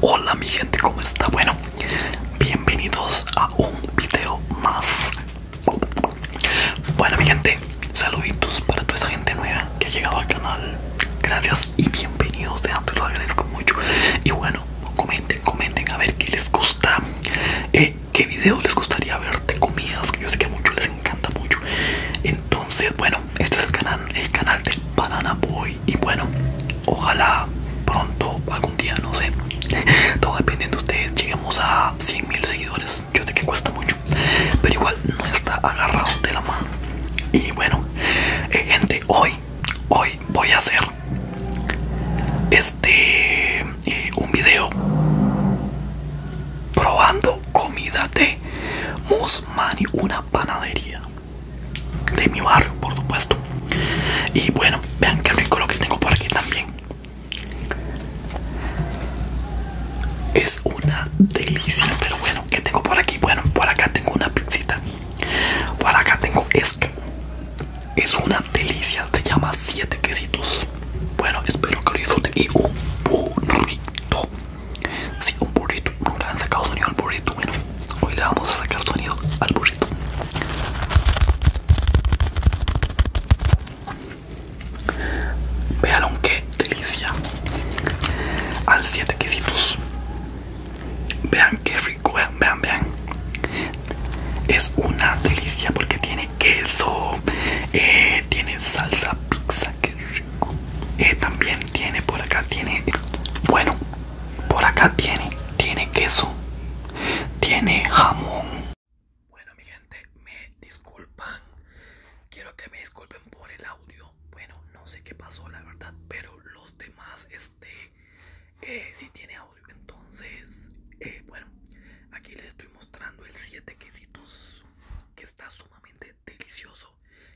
Hola mi gente, ¿cómo está? Bueno, bienvenidos a un video más. Bueno mi gente, saluditos para toda esa gente nueva que ha llegado al canal. Gracias y bienvenidos de antes, lo agradezco mucho. Y bueno, comenten, comenten a ver qué les gusta, eh, qué video les gustaría ver de comidas, que yo sé que mucho, les encanta mucho. Entonces, bueno, este es el canal, el canal de Banana Boy y bueno, ojalá pronto, algún día, no sé, todo dependiendo de ustedes, lleguemos a 100 mil seguidores, yo sé que cuesta mucho, pero igual no está agarrado de la mano. Y bueno, eh, gente, hoy, hoy voy a hacer este eh, un video probando comida de Musmani, una panadería de mi barrio, por supuesto. Y bueno, vean que rico lo que tengo por aquí también. Es una delicia, pero bueno, ¿qué tengo por aquí? Bueno, por acá tengo una pizzita. Por acá tengo esto. Es una delicia, se llama siete quesitos. Bueno, espero que lo disfruten y un burrito. Sí, un burrito. Nunca han sacado sonido al burrito. Bueno, hoy le vamos a sacar sonido al burrito. Vean qué delicia. Al 7 quesitos. Vean qué rico. Vean, vean, Es una delicia porque tiene queso. Eh, tiene salsa pizza. Eh, también tiene por acá tiene bueno por acá tiene tiene queso tiene jamón bueno mi gente me disculpan quiero que me disculpen por el audio bueno no sé qué pasó la verdad pero los demás este eh, si tiene audio entonces eh, bueno aquí les estoy mostrando el 7 quesitos que está sumamente delicioso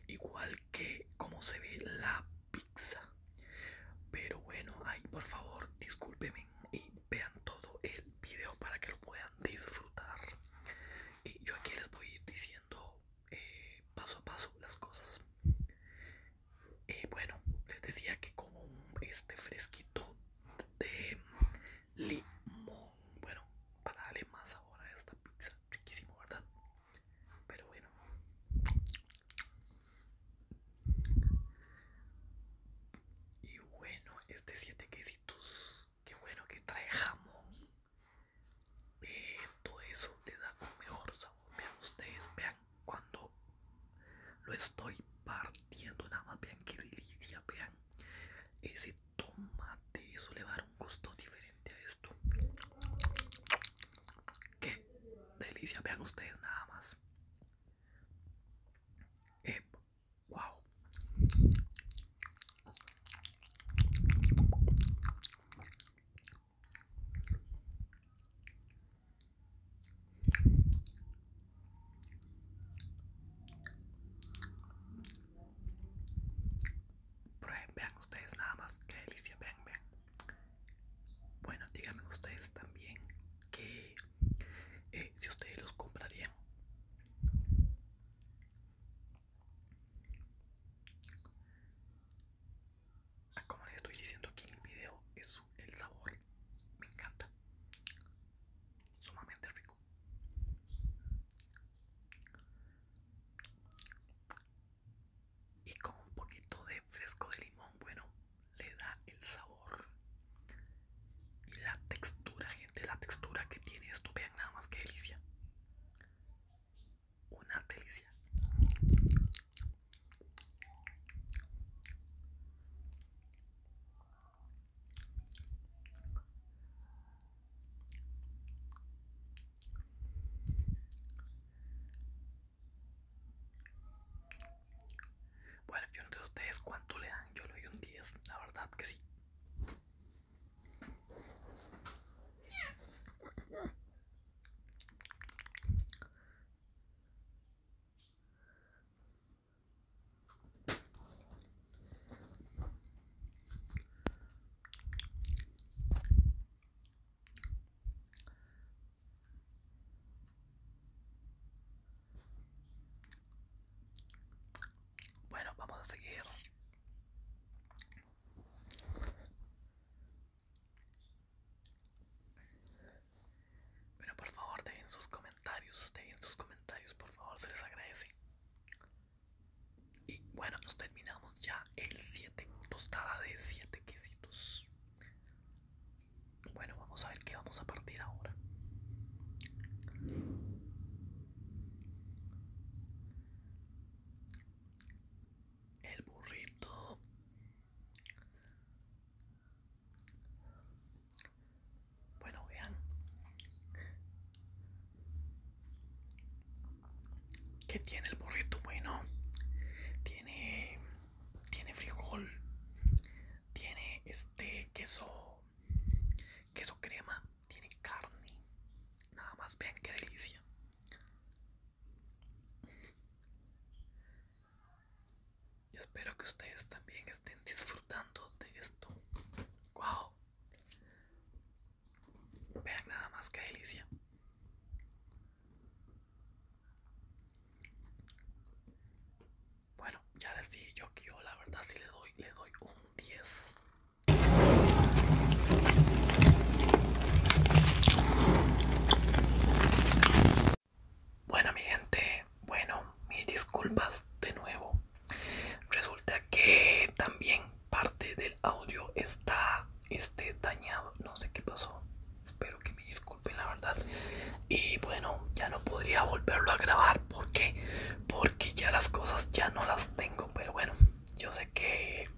igual que como se ve la pizza. Pero bueno, ahí por favor discúlpenme y vean todo el video para que lo puedan disfrutar. Y yo aquí les voy a ir diciendo eh, paso a paso las cosas. Y bueno, les decía que como este fresquito de limón, bueno, para darle más sabor a esta pizza, riquísimo, ¿verdad? Pero bueno. Y bueno, este siete quesitos. Qué bueno que trae jamón. Eh, todo eso le da un mejor sabor. Vean ustedes, vean cuando lo estoy partiendo. Nada más vean qué delicia. Vean ese tomate eso le va dar un gusto diferente a esto qué delicia vean ustedes nada más eh, wow Prueben, vean ustedes nada más, qué delicia, vean, vean. Bueno, díganme ustedes también que eh, si ustedes los comprarían. Ah, como les estoy diciendo aquí en el video, es el sabor me encanta, sumamente rico y con un poquito de fresco de limón bueno le da el sabor y la textura gente la textura que tiene esto vean nada más que delicia una delicia bueno, yo no sé ustedes cuánto le dan, yo le doy un 10, la verdad que sí. Bueno, vamos a seguir. Bueno, por favor, dejen sus comentarios, dejen sus comentarios, por favor, se les agradece. Y bueno, nos terminamos ya el 7, tostada de 7 quesitos. Bueno, vamos a ver qué vamos a partir ahora. El burrito. Bueno, vean. ¿Qué tiene el burrito? Bueno, tiene tiene frijol, tiene este queso queso crema, tiene carne. Nada más vean qué delicia. Yo espero que ustedes también estén disfrutando de esto. Wow. Vean nada más que delicia. Bueno, ya les dije yo que yo la verdad si le doy, le doy un 10. Bueno mi gente, bueno, mis disculpas de nuevo. Resulta que también parte del audio está este, dañado. No sé qué pasó. Espero que me disculpen la verdad. Y bueno, ya no podría volverlo a grabar. ¿Por qué? Porque ya las cosas ya no las tengo. Pero bueno, yo sé que...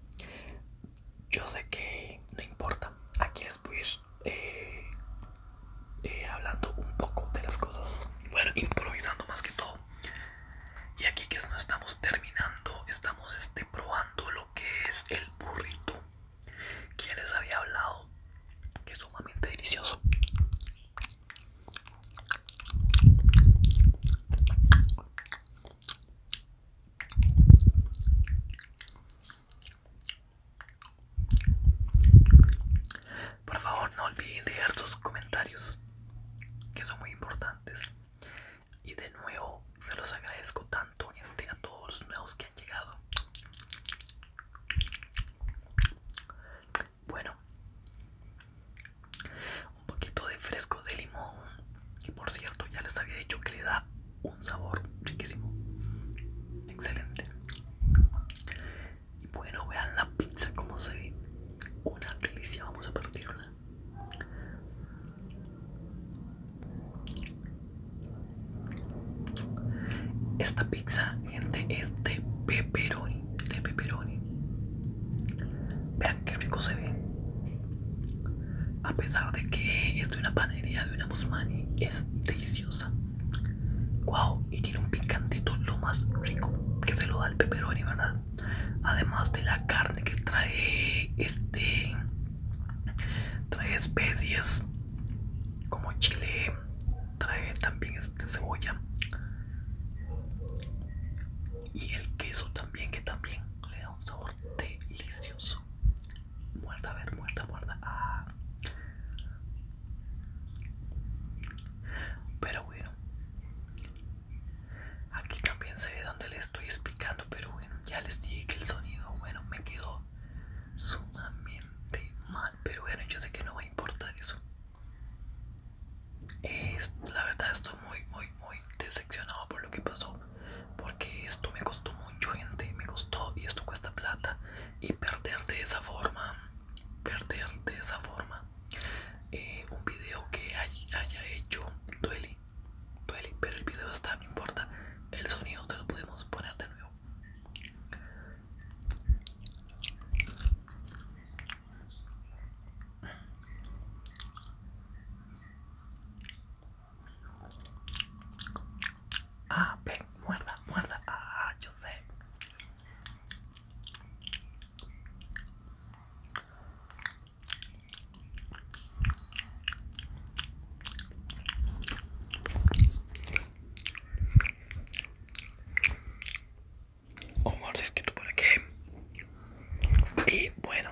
Yo sé que no importa. Aquí les voy a ir eh, eh, hablando un poco de las cosas, bueno, improvisando más que todo. Y aquí que no estamos terminando, estamos este, probando lo que es el burrito. Quien les había hablado que es sumamente delicioso. Por favor, no olviden dejar sus comentarios, que son muy importantes. Y de nuevo, se los agradezco tanto, a todos los nuevos que han llegado. Bueno, un poquito de fresco de limón. Y por cierto, ya les había dicho que le da un sabor riquísimo. Excelente. Y bueno, vean la pizza como se ve. Una delicia, vamos a partirla. Esta pizza, gente, es de pepperoni. De pepperoni. Vean qué rico se ve. A pesar de que es de una panadería de una Musmani, es deliciosa. Wow, y tiene un picantito lo más rico que se lo da el peperoni, ¿verdad? Además de la carne que trae este trae especies como chile, trae también este cebolla y el queso también que también le da un sabor delicioso. Muerda, a ver, muerda, muerda. Ah. Pero bueno, aquí también se ve donde les estoy explicando, pero bueno, ya les dije que el sonido, bueno, me quedó sumamente mal, pero bueno, yo sé que no va a importar eso. la verdad estoy muy, muy, muy decepcionado por lo que pasó, porque esto me costó mucho gente, me costó y esto cuesta plata y perder de esa forma perder de esa forma eh, un video que haya hecho duele duele pero el video está no importa el sonido se lo podemos poner de nuevo Ah, ven, muerda, muerda. Ah, yo sé. Oh, que tú por aquí. Y bueno.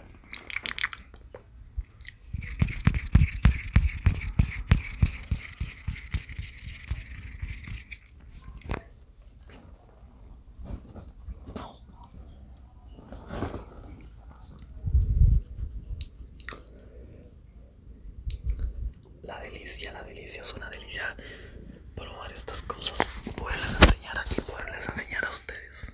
La delicia, la delicia, es una delicia probar estas cosas, poderles enseñar aquí, poderles enseñar a ustedes.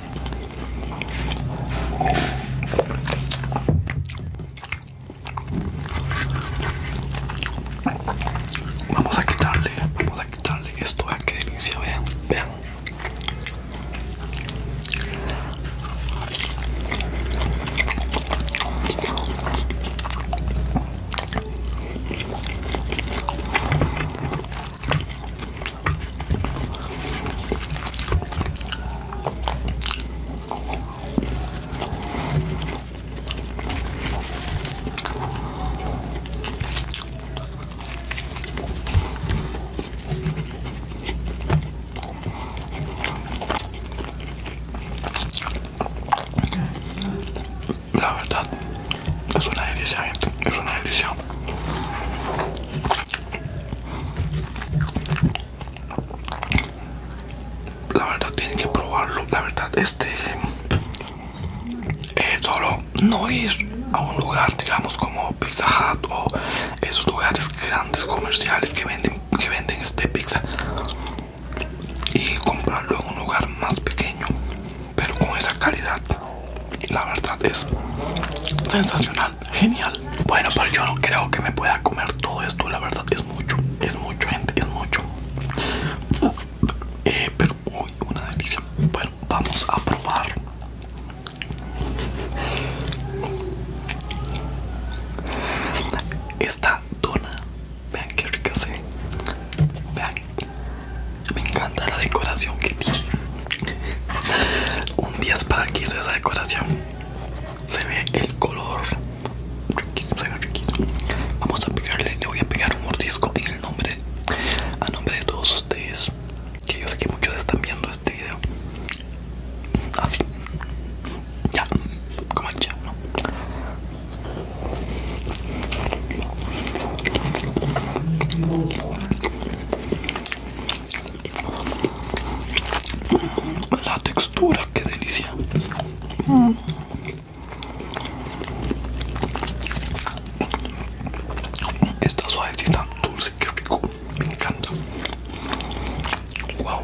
Vamos a quitarle, vamos a quitarle esto, a que delicia, vean, vean. La verdad, es una delicia, gente. Es una delicia. La verdad tiene que probarlo. La verdad este es eh, solo no ir a un lugar digamos como Pizza Hut o esos lugares grandes comerciales que venden que venden este pizza y comprarlo en un lugar más pequeño pero con esa calidad la verdad es sensacional genial bueno pero yo no creo que me pueda comer todo esto la verdad es mucho es mucho gente es mucho eh, pero uy, una delicia bueno vamos a probar esta dona vean qué rica se vean me encanta la decoración que tiene. Un 10 para que hizo esa decoración. Se ve el color. Vamos a pegarle, le voy a pegar un mordisco en el nombre. A nombre de todos ustedes. Que yo sé que muchos están viendo este video. Así. Ya. Como ya, ¿no? La textura, qué delicia. Esta suavecita dulce, qué rico. Me encanta. Wow.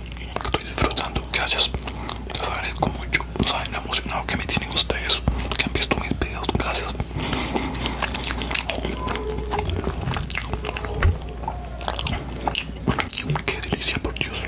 estoy disfrutando gracias les agradezco mucho saben lo emocionado que me tienen ustedes que han visto mis videos gracias qué delicia por Dios